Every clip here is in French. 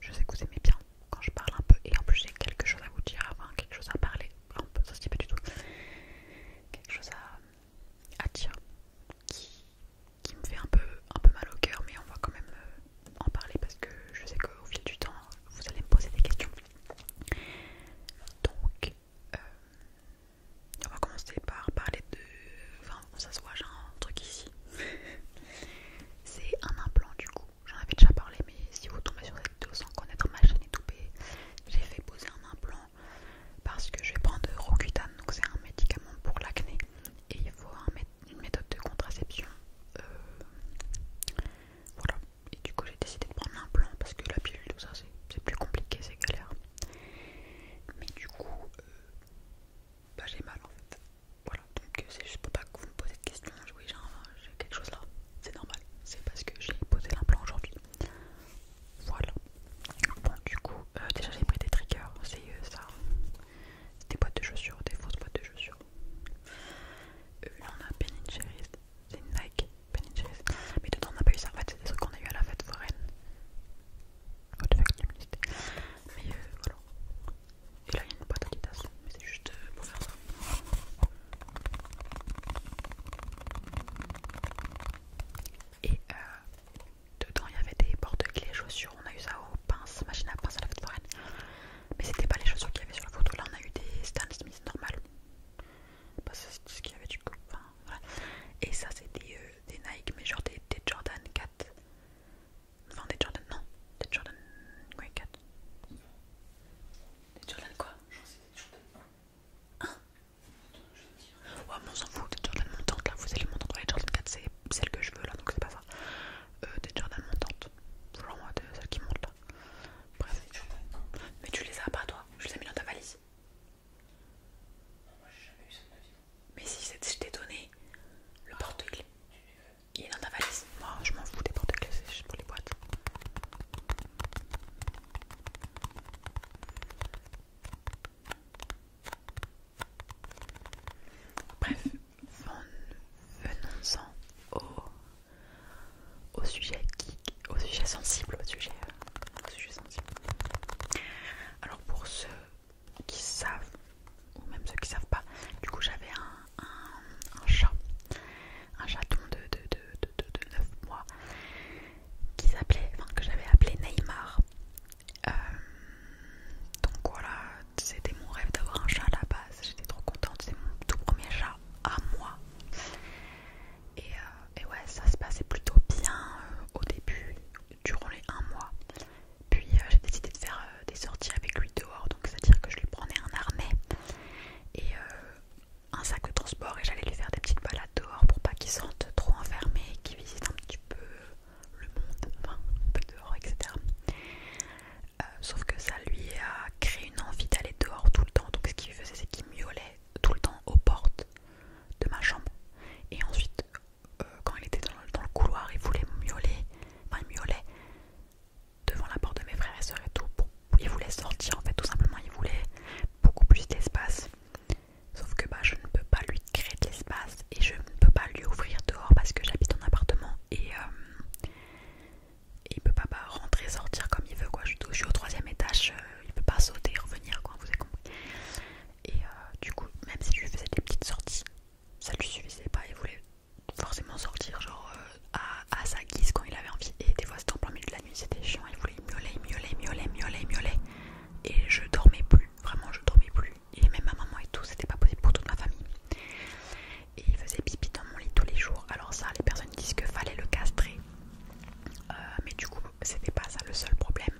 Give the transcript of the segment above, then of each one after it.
je sais que vous aimez bien quand je parle un peu et en plus j'ai quelque chose à vous dire, avant, quelque chose à parler, enfin, ça se dit pas du tout, quelque chose à, dire qui, me fait un peu, un peu mal au cœur mais on va quand même euh, en parler parce que je sais qu'au fil du temps vous allez me poser des questions. Donc euh, on va commencer par parler de... Enfin ça se voit j'ai un truc ici C'est un implant du coup, j'en avais déjà parlé mais si vous tombez sur cette vidéo sans connaître ma chaîne YouTube, j'ai fait poser un implant parce que je vais prendre rocutane donc c'est un médicament pour l'acné et il faut une méthode de contraception. Euh, voilà, et du coup j'ai décidé de prendre l'implant parce que la pilule, tout ça c'est plus compliqué, c'est galère. Mais du coup, euh, bah j'ai mal en fait. Voilà, donc euh, c'est juste pour pas que vous me posez de questions. Oui, euh, j'ai quelque chose là, c'est normal. C'est parce que j'ai posé l'implant aujourd'hui. Voilà. Bon, du coup, euh, déjà j'ai pris des triggers. C'est ça ça. Des boîtes de chaussures, des fausses boîtes de chaussures. Euh, on a Ben c'est Nike de Mais dedans on n'a pas eu ça. En fait, c'est des qu'on a eu à la fête foraine. Oh de fuck, Mais voilà. Et là il y a une boîte à des mais c'est juste euh, pour faire ça. Et euh, dedans il y avait des porte-clés, chaussures, on a eu ça aux pince, machine à pince à la fête foraine. Mais c'était pas les chaussures qu'il y avait sur la photo, là on a eu des Stan Smith normales. Parce bah, que c'est ce qu'il y avait du coup. Enfin, voilà. Et ça c'était euh, des Nike, mais genre des Jordan 4. Enfin des Jordan, non, des Jordan Quoi, Cat. Des Jordan quoi J'en sais des Jordan 1. Hein ouais, mais on s'en fout, des Jordan montantes là, vous allez m'entendre. Les Jordan 4, c'est celle que je veux là, donc c'est pas ça. Euh, des Jordan montantes, genre moi, celle qui monte là. Bref, mais tu les as pas toi, je les ai mis dans ta valise. moi j'ai jamais eu ça de mais si je t'ai donné le porte-clés, il est dans ta valise. Moi, je m'en fous des porte-clés, c'est juste pour les boîtes. Bref, venons-en au, au sujet au sujet sensible, au sujet, euh, Alors pour ce qui savent, ou même ceux qui savent pas. Du coup, j'avais un, chat, un chaton de, de, 9 mois, qui s'appelait, que j'avais appelé Neymar. Euh, donc voilà, c'était mon rêve d'avoir un chat à la base. J'étais trop contente, c'est mon tout premier chat à moi. Et, euh, ouais, ça se passait plutôt bien euh, au début, durant les 1 mois. Puis euh, j'ai décidé de faire euh, des sorties avec lui dehors, donc c'est-à-dire que je lui prenais un harnais et euh, un sac de transport et j'allais lui faire des petites balades dehors pour pas qu'il sente trop enfermé, qu'il visite un petit peu le monde, enfin un peu dehors, etc. sauf que ça lui a créé une envie d'aller dehors tout le temps, donc ce qu'il faisait c'est qu'il miaulait tout le temps aux portes de ma chambre et ensuite euh, quand il était dans le, couloir, il voulait miauler, enfin il devant la porte de mes frères et sœurs et tout. il voulait sortir en fait, tout simplement, il voulait beaucoup plus d'espace. Sauf que bah, je ne peux pas lui créer de l'espace et je ne peux pas lui ouvrir dehors parce que j'habite en appartement et, euh, il ne peut pas rentrer bah, rentrer sortir comme il veut. Quoi. Je, suis au troisième étage, euh, il ne peut pas sauter, revenir, quoi, vous avez compris. Et euh, du coup, même si je lui faisais des petites sorties, ça lui suffisait pas. Il voulait forcément sortir, genre euh, à, sa guise quand il avait envie. Et des fois, c'était en plein milieu de la nuit, c'était chiant. Il voulait miauler, miauler, miauler, miauler, miauler. Et je dormais plus, vraiment, je dormais plus. Et même ma maman et tout, c'était pas posé pour toute ma famille. Et il faisait pipi dans mon lit tous les jours. Alors, ça, les personnes disent que fallait le castrer. Euh, mais du coup, c'était pas ça le seul problème.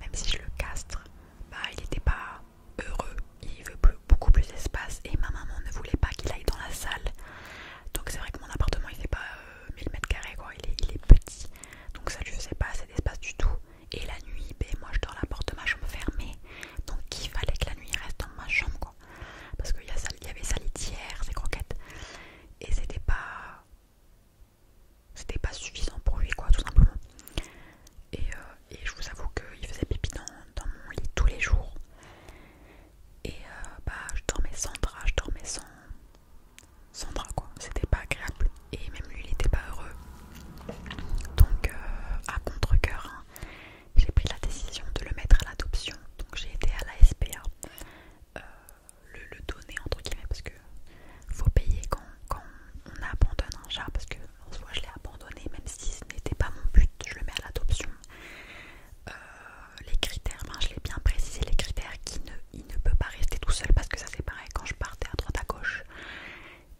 Même si je le castre, bah, il était pas heureux, il veut beaucoup plus d'espace et ma maman ne voulait pas qu'il aille dans la salle. Donc c'est vrai que mon appartement il est pas euh, mille 1000 mètres carrés quoi, il est, petit. Donc ça je faisait pas assez d'espace du tout. Et la nuit, ben, moi je dors la porte de ma chambre fermée. Donc il fallait que la nuit reste dans ma chambre quoi. Parce qu'il y, y avait sa litière, ses croquettes. Et c'était pas c'était pas suffisant pour lui quoi tout simplement et, euh, je vous avoue qu'il faisait pipi dans, mon lit tous les jours et euh, bah je dormais sans drap je dormais sans, sans drap quoi c'était pas agréable et même lui il était pas heureux donc euh, à contre-coeur hein, j'ai pris la décision de le mettre à l'adoption donc j'ai été à la SPA euh, le, donner entre guillemets parce que faut payer quand, on abandonne un chat parce que en je l'ai abandonné même si ce n'était pas mon but, je le mets à l'adoption. Euh, les critères, ben, je l'ai bien précisé, les critères qui ne, peut pas rester tout seul parce que ça fait pareil quand je partais à droite à gauche.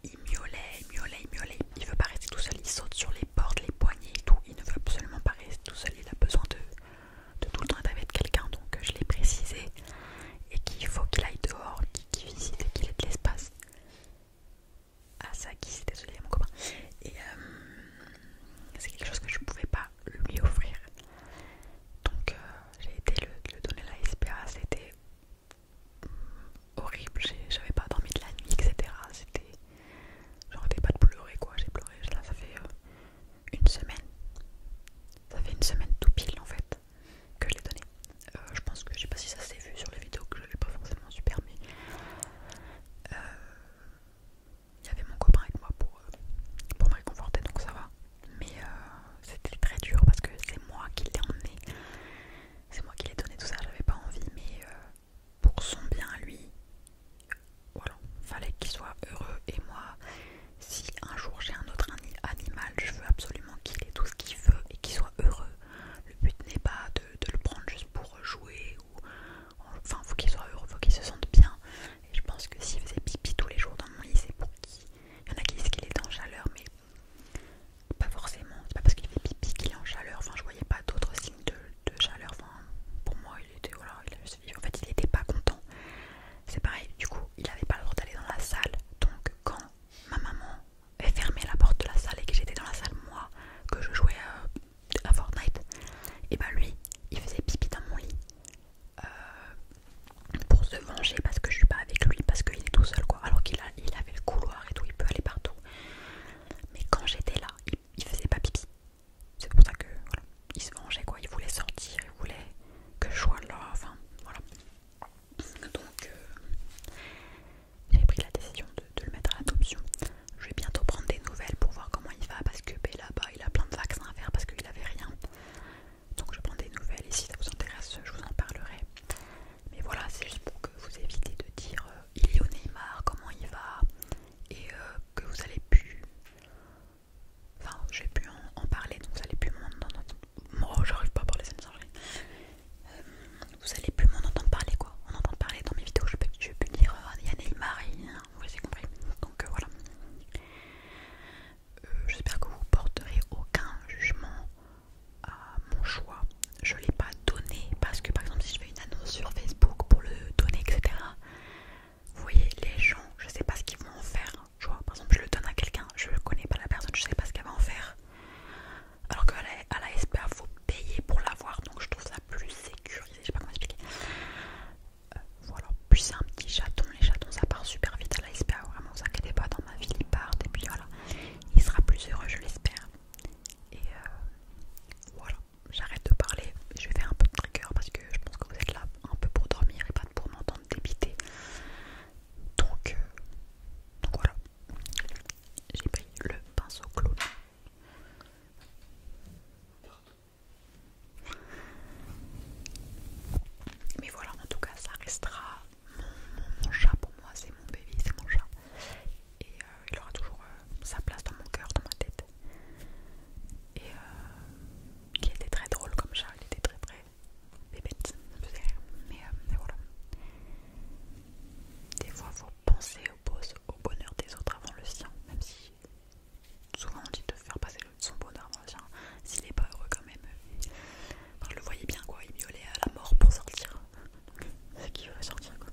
Il miaulait, il miaulait, il miaulait, il veut pas rester tout seul, il saute sur les portes, les poignets et tout, il ne veut absolument pas rester tout seul, il a besoin de de tout le temps être quelqu'un, donc je l'ai précisé, et qu'il faut qu'il aille dehors, qu'il visite et qu'il ait de l'espace. Ah ça qui c'est désolé mon copain. Et euh, c'est quelque chose que je ne pouvais pas lui offrir. Donc euh, j'ai été le, donner la SPA, c'était horrible, j'avais pas dormi de la nuit, etc. C'était. J'arrêtais pas de pleurer quoi, j'ai pleuré, là ça fait euh, une semaine. Ça fait une semaine tout pile en fait que je l'ai donné. Euh, je pense que je sais pas si ça s'est vu sur les vidéos que je l'ai pas forcément super mais euh, il y avait mon copain avec moi pour, euh, pour me réconforter donc ça va. Mais c'était très dur parce que c'est moi qui l'ai emmené. C'est moi qui l'ai donné tout ça, j'avais pas envie mais pour son bien lui, voilà, fallait qu'il soit heureux et moi si un jour j'ai un autre animal, je veux absolument qu'il ait tout ce qu'il veut et qu'il soit heureux. Le but n'est pas de, le prendre juste pour jouer ou enfin faut qu'il soit heureux, faut qu'il se sente bien. Et je pense que s'il faisait pipi tous les jours dans mon lit, c'est pour qui Il y en a qui disent qu'il est en chaleur, mais pas forcément. C'est pas parce qu'il fait pipi qu'il est en chaleur. Enfin, je voyais pas d'autres signes de, chaleur. pour moi, il était voilà, il en fait il était pas content. C'est pareil, du coup il avait pas le droit d'aller dans la salle. Donc quand ma maman avait fermé la porte de la salle et que j'étais dans la salle moi, que je jouais euh, à, Fortnite, et ben lui il faisait pipi dans mon lit. Euh, pour se venger parce que je suis pas avec lui, parce qu'il est tout seul quoi, alors qu'il il avait le couloir et tout, il peut aller partout. Mais quand j'étais là, il, il faisait pas pipi, c'est pour ça que il se vengeait quoi, il voulait sortir, il voulait que je sois là, enfin voilà. Donc euh, j'ai pris la décision de, le mettre à l'adoption. Je vais bientôt prendre des nouvelles pour voir comment il va parce que ben, là-bas il a plein de vaccins à faire parce qu'il n'avait rien. Donc je prends des nouvelles et si ça vous intéresse, je vous en parlerai. Mais voilà, c'est juste pour que vous évitez de dire euh, il est au Neymar, comment il va, et euh, que vous allez plus Enfin, j'ai pu en, parler, donc vous allez plus m'en entendre. pas à parler, euh, vous allez plus m'en entendre parler, quoi. On entend parler dans mes vidéos, je vais plus dire Yann et. Hein, vous avez compris. Donc euh, voilà. Euh, j'espère que vous porterez aucun jugement à mon choix. Je l'ai pas donné parce que, par exemple, si je fais une annonce sur Facebook pour le donner, etc., vous voyez les gens, je sais pas ce qu'ils vont en faire. Hein. Tu vois, par exemple, je le donne à quelqu'un, je ne connais pas la personne, je sais pas ce qu'elle va en faire. Alors qu'à la, à la faut payer pour l'avoir, donc je trouve ça plus sécurisé. Je sais pas comment expliquer. Euh, voilà, plus c'est un petit chaton, les chatons ça part super vite à la SPA, vraiment, vous inquiétez pas, dans ma vie, ils partent, et puis voilà, il sera plus heureux, je l'espère. Et euh, voilà, j'arrête de parler, je vais faire un peu de trigger parce que je pense que vous êtes là un peu pour dormir et pas pour m'entendre débiter. Donc, euh, voilà, j'ai pris le pinceau clown. Mais voilà, en tout cas, ça restera mon, chat pour moi, c'est mon bébé, c'est mon chat. Et euh, il aura toujours euh, sa place dans mon cœur, dans ma tête et euh, qui était très drôle comme ça, il était très très bébête, mais, euh, voilà. Des fois, faut penser au, au bonheur des autres avant le sien, même si souvent on dit de faire passer son bonheur avant le sien, s'il est pas heureux quand même. Euh, je le voyais bien quoi, il miaulait à la mort pour sortir. C'est qui veut sortir quoi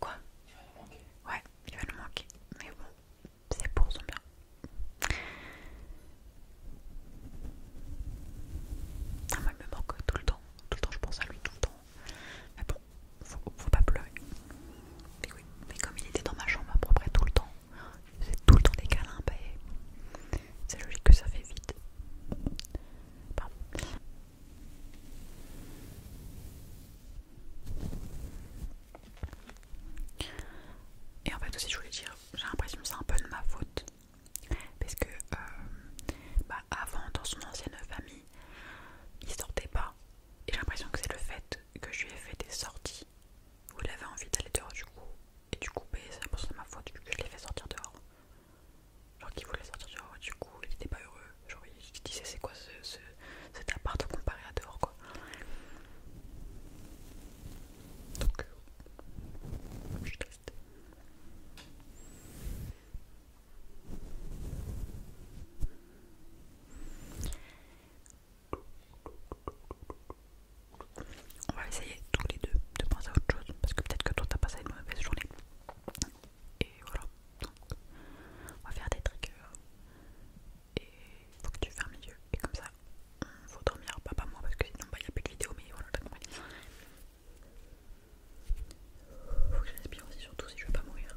Quoi il va nous manquer. Ouais, il va nous manquer. Mais bon, c'est pour son bien. Ah, moi, il me manque tout le temps. Tout le temps, je pense à lui, tout le temps. Mais bon, faut, faut pas pleurer. Mais oui, mais comme il était dans ma chambre à peu près tout le temps, c'est tout le temps des câlins, ben, c'est logique que ça fait vite. Et en fait aussi je voulais dire, j'ai l'impression que c'est un peu de ma faute. Parce que euh, bah, avant dans son ancienne famille, il sortait pas. Et j'ai l'impression que c'est le fait que je lui ai fait des sorties où il avait envie d'aller dehors du coup. Et du coup, bah, c'est l'impression de ma faute que je l'ai fait sortir dehors. Genre qu'il voulait sortir du coup il était pas heureux. Genre il disait c'est quoi ce, cet appart comparé à dehors quoi. Donc euh, je suis On va essayer tous les deux de penser à autre chose parce que peut-être que toi t'as passé une mauvaise journée et voilà. Donc, on va faire des triggers. Et il faut que tu fermes les yeux. Et comme ça, il faut dormir. Pas, moi, parce que sinon, il bah, n'y a plus de vidéo. Mais voilà, t'as compris. Faut que respire aussi, surtout si je veux pas mourir.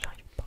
J'arrive pas.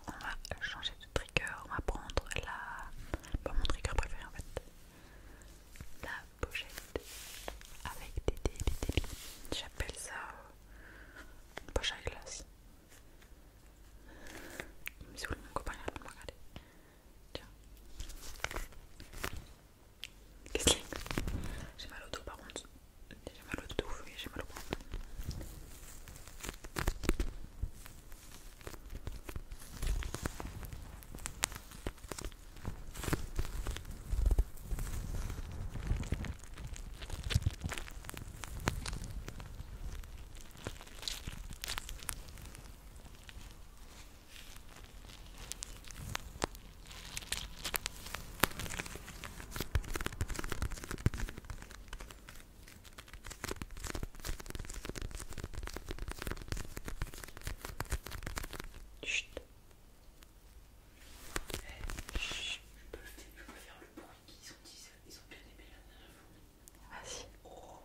On va changer de trigger, on va prendre la... pas mon trigger préféré en fait. La pochette avec des délits. J'appelle ça une euh, poche à glace. Mais mon copain il regarder. Tiens. Qu'est-ce J'ai mal au dos par contre. J'ai mal au dos, oui, j'ai mal au bras. Chut. Eh, je peux, faire le bruit qui ont bien aimé la dernière oh.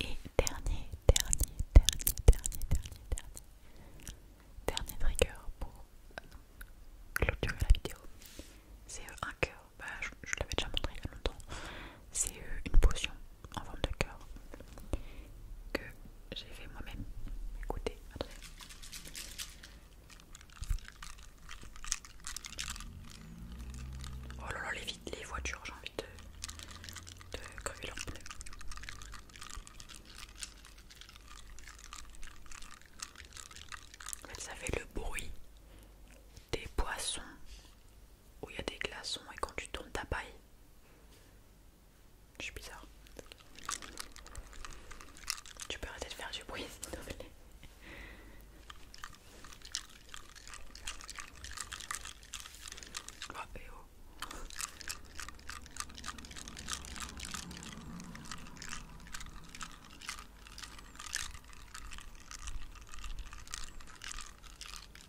Et dernier, dernier, dernier, dernier, dernier, dernier, dernier trigger pour clôturer la vidéo. C'est un cœur, bah, je l'avais déjà montré il y a longtemps c'est euh, une potion en forme de cœur que j'ai fait moi-même. Écoutez, attendez. Oh là là, les, voitures, j'ai envie de, de crever leurs pneus. En fait, ça fait le bruit des poissons où il y a des glaçons et quand tu tournes ta paille, je suis bizarre. Tu peux arrêter de faire du bruit, s'il te plaît. Ah, eh oh, et oh. Il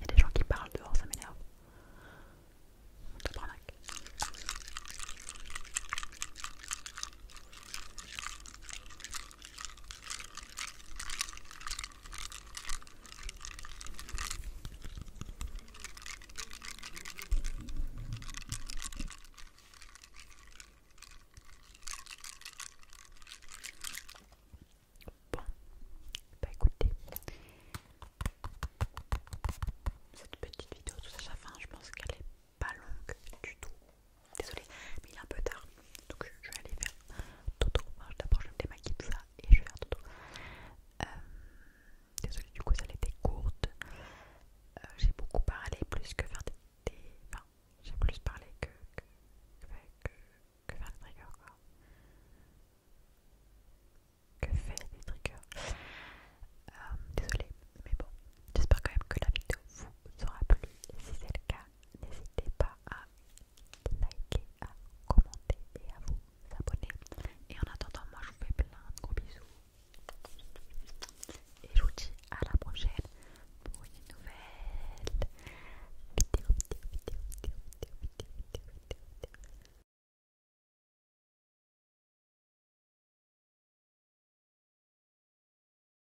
y a des gens qui parlent dehors, ça m'énerve. Bon, bah écoutez, cette petite vidéo tout à sa fin, je pense qu'elle est pas longue du tout. Désolée, mais il est un peu tard. Donc je vais aller faire Toto. D'abord je vais me démaquiller tout ça et je vais faire Toto. Euh, désolée, du coup ça été courte. Euh, j'ai beaucoup parlé plus que faire des... enfin, j'ai plus parlé que... faire des triggers Que faire des triggers. Euh, désolée, mais bon, j'espère quand même que la vidéo vous aura plu. Si c'est le cas, n'hésitez pas à liker, à commenter et à vous abonner. Et en attendant, moi je vous fais plein de gros bisous. Et je vous dis à la prochaine pour une nouvelle vidéo, vidéo, vidéo, vidéo, vidéo, vidéo, vidéo, vidéo.